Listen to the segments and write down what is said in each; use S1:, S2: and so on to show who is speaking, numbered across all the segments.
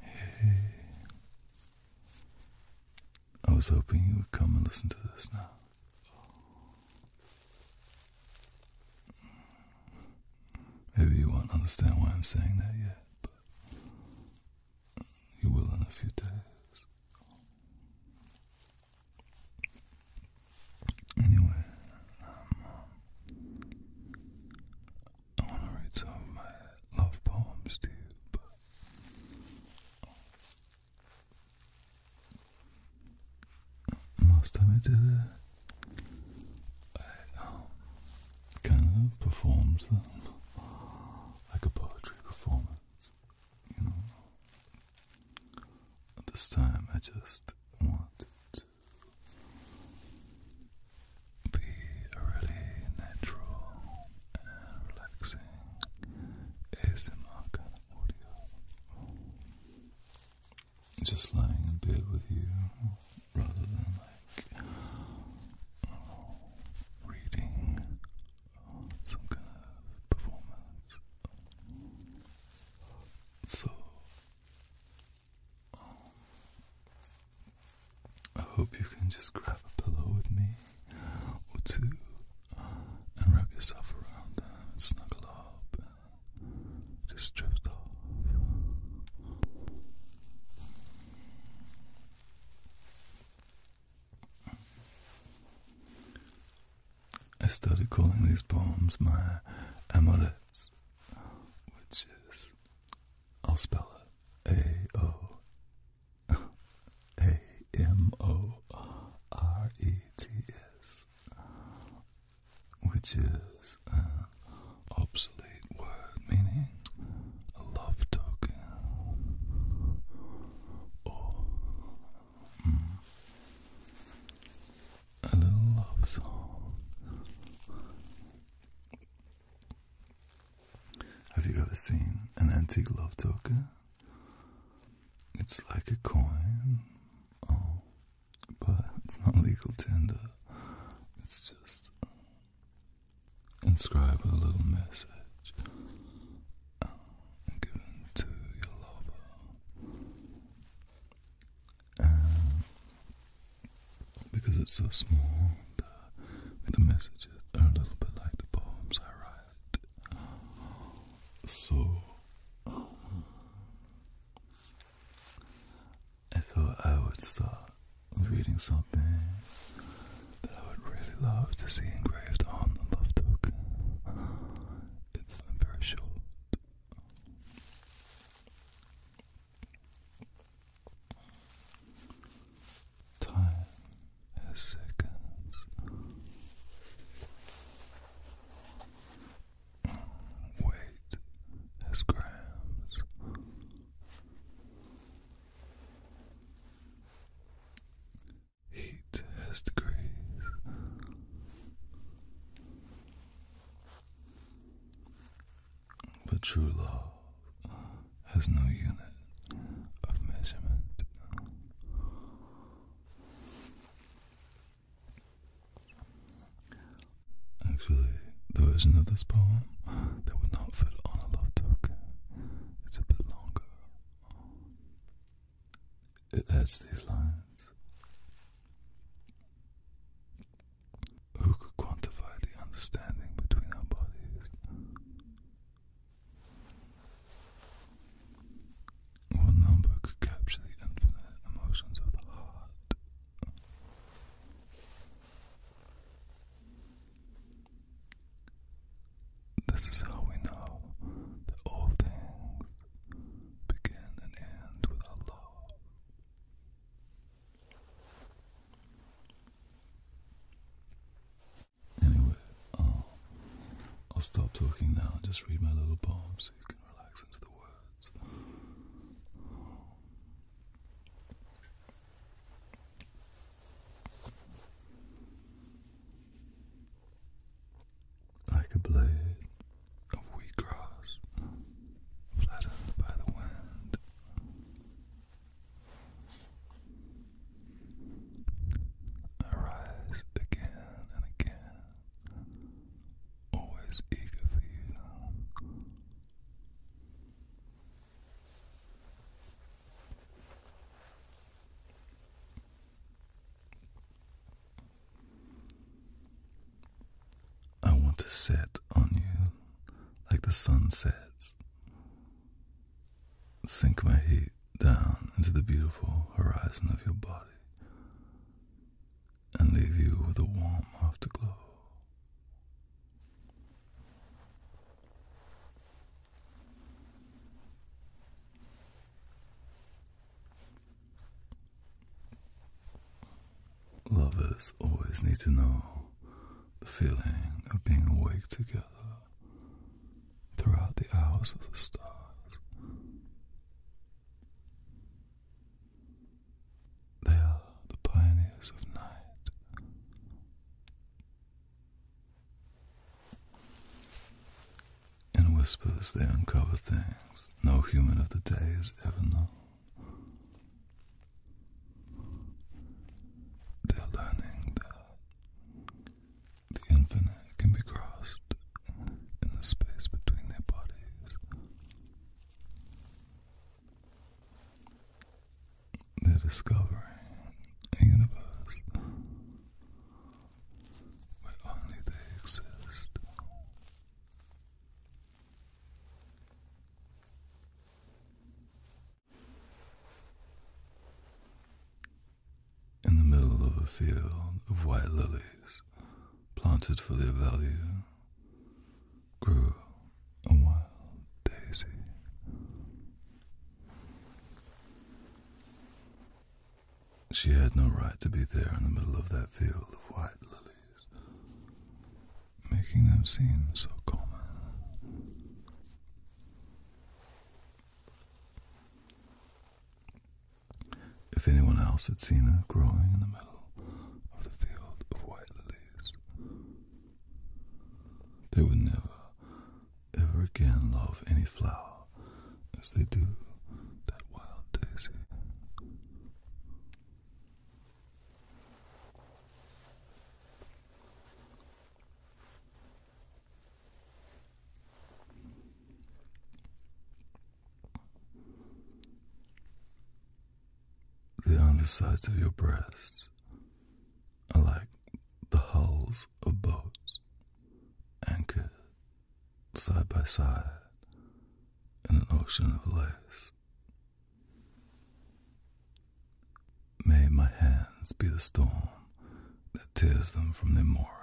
S1: Hey. I was hoping you would come and listen to this now. Maybe you won't understand why I'm saying that yet, but you will in a few days. Anyway, um, I want to read some love poems to but. Last time I did it, I um, kind of performed them like a poetry performance, you know, this time, I just want to be a really natural relaxing ASMR kind of audio. Just lying in bed with you rather than like reading some kind of performance. So, um, I hope you can just grab a pillow with me or two and wrap yourself around them, and snuggle up, and just drift off. I started calling these poems my amorets, which is, I'll spell it A O A M O R E T S, which is an obsolete word meaning a love token a little love song. Have you ever seen an antique love token? It's like a coin, oh, but it's not legal tender. It's just uh, inscribe a little message uh, given to your lover. Um, because it's so small, the, messages are a little bit like the poems I write. So I thought I would start reading something that I would really love to see engraved on the love token. It's very short, Time has seconds. Weight has grams. Heat has degrees. But true love has no unit of measurement. Actually, the version of this poem that would not fit on a love token is a bit longer. It adds these lines. Who could quantify the understanding between our bodies? What number could capture the infinite emotions of the heart? This is how we know all things begin and end with our Anyway, um, I'll stop talking now and just read my little poem so you can relax into the words like a blade of wheatgrass flattened by the wind. I rise again and again, always eager for you. I want to set on you like the sun sets. Sink my heat down into the beautiful horizon of your body and leave you with a warm afterglow. Lovers always need to know the feeling of being awake together throughout the hours of the stars. They are the pioneers of night. In whispers, they uncover things no human of the day has ever known. They're learning that the infinite can be crossed in the space between their bodies. They're discovering a universe where only they exist. In the middle of a field of white lilies planted for their value grew a wild daisy. She had no right to be there in the middle of that field of white lilies, making them seem so common. If anyone else had seen her growing in the middle of the field of white lilies, they would never, ever again love any flower as they do that wild daisy. The undersides of your breasts are like the hulls of boats anchored side by side in an ocean of lace. May my hands be the storm that tears them from their moorings.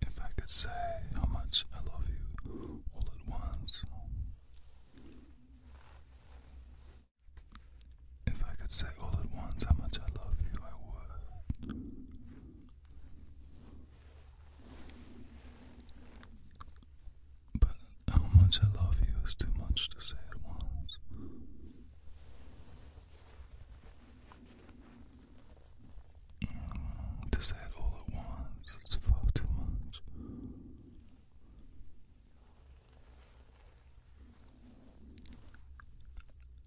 S1: If I could say how much I love you all at once. If I could say all at once how much I love you, I would. But how much I love you is too much to say at once. To say it all at once, it's far too much.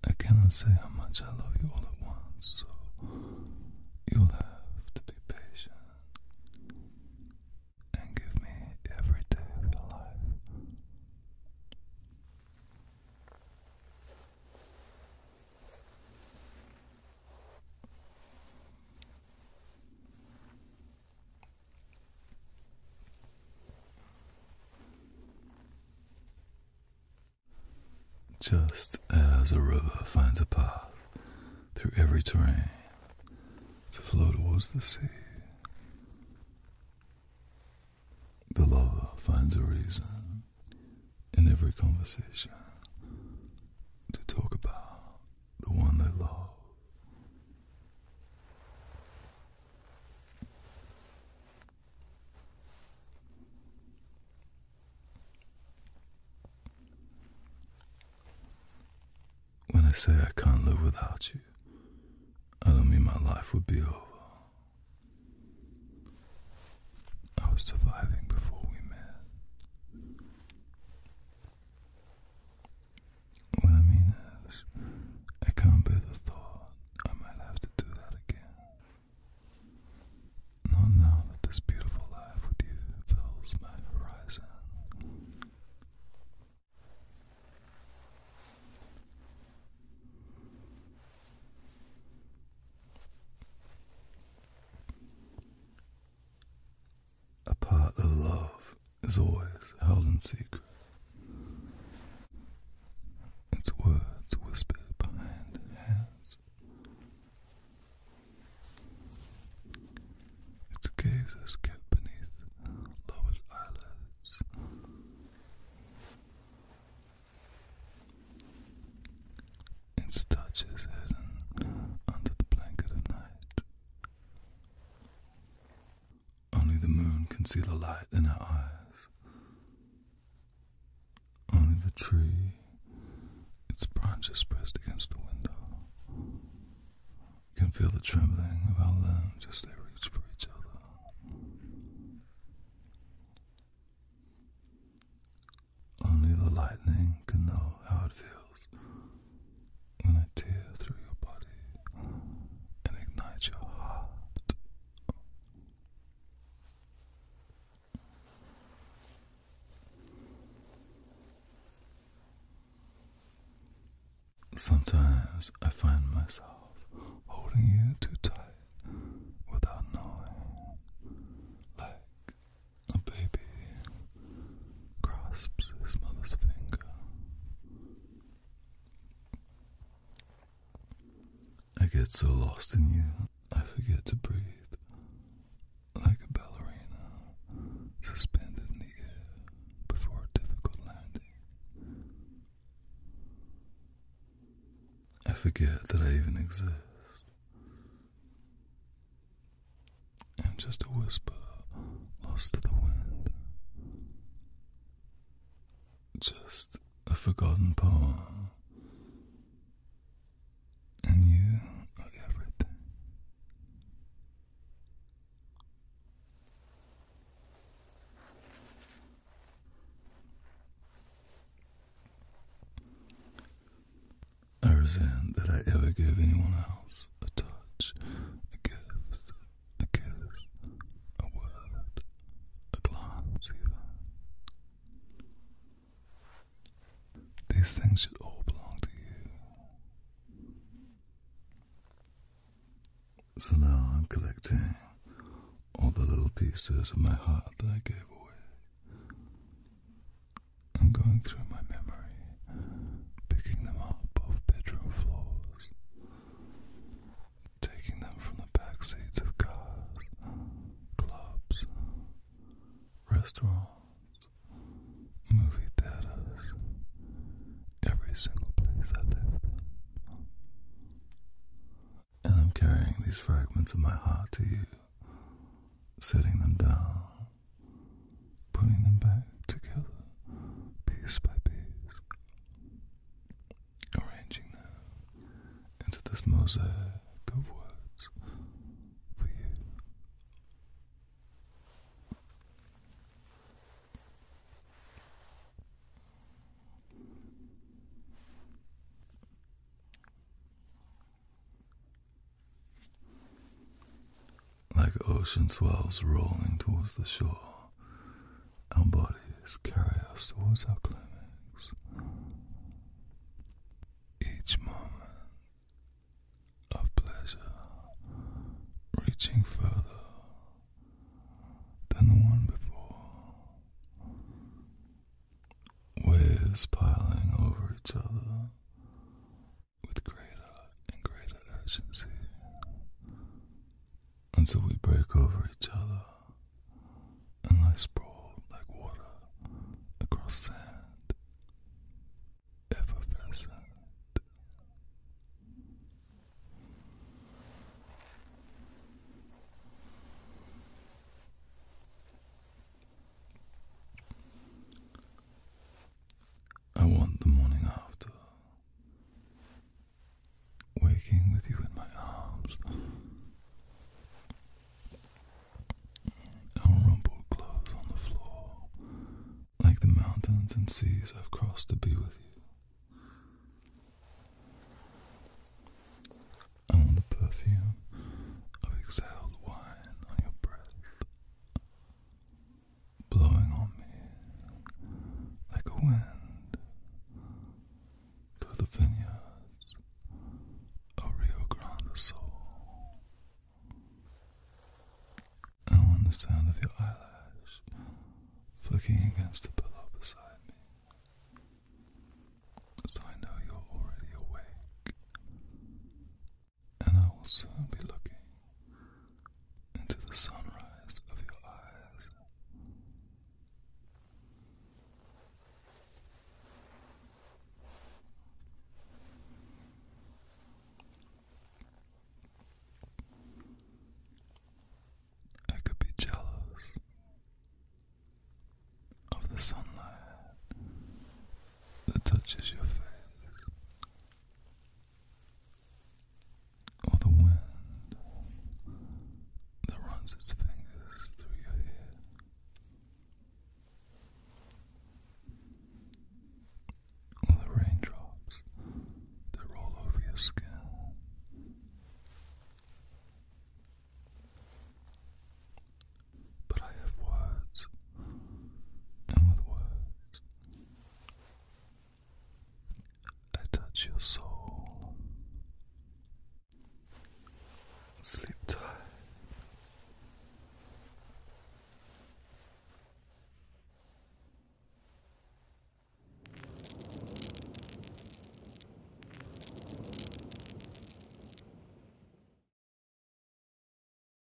S1: I cannot say how much I love you all at once, so you'll have to be patient and give me every day of your life. Just as a river finds a path through every terrain to flow towards the sea, the lover finds a reason in every conversation to talk about the one they love. When I say I can't live without you, I don't mean my life would be over. I was surviving before we met. What I mean is, I can't bear the thought I might have to do that again. Not now that this beautiful life with you fills my horizon. A part of love is always held in secret. Its words whispered behind hands. Its gazes kept beneath lowered eyelids. Its touch is hidden under the blanket of night. Only the moon can see the light in her eyes. Only the tree, its branches pressed against the window, can feel the trembling of our limbs as they reach for each other. Only the lightning can know how it feels when I tear through your body and ignite your heart. Sometimes I find myself holding you too tight without knowing, like a baby grasps his mother's finger. I get so lost in you, I forget to breathe. Like a ballerina suspended in the air before a difficult landing. I forget that I even exist and just a whisper lost to the wind. Just a forgotten poem, and you are everything. I resent that I ever gave anyone else a touch, a gift, a kiss, a word, a glance, These things should all belong to you. So now I'm collecting all the little pieces of my heart that I gave away. I'm going through my memory, picking them up off bedroom floors, taking them from the back seats of cars, clubs, restaurants, movie theaters, every single place I lived. And I'm carrying these fragments of my heart to you setting them down, putting them back together piece by piece, arranging them into this mosaic of words for you. Like ocean swells rolling towards the shore, our bodies carry us towards our climax. Each moment of pleasure reaching further than the one before, waves piling over each other with greater and greater urgency until we break over each other and lie sprawled like water across sand, effervescent. I want the morning after. Waking with you in my arms. I'll clothes on the floor, like the mountains and seas I've crossed to be with you. I want the perfume of exhaled wine on your breath blowing on me like a wind through the vineyards of Rio Grande do Sul. And when the sound of your eyelash flicking against the pillow beside me, I know you're already awake and I will soon be looking into the sunrise of your eyes. I could be jealous of the sunlight that touches your face or the wind that runs its fingers through your hair. Or the raindrops that roll over your skin but I have words, and with words, I touch your soul. Sleep tight.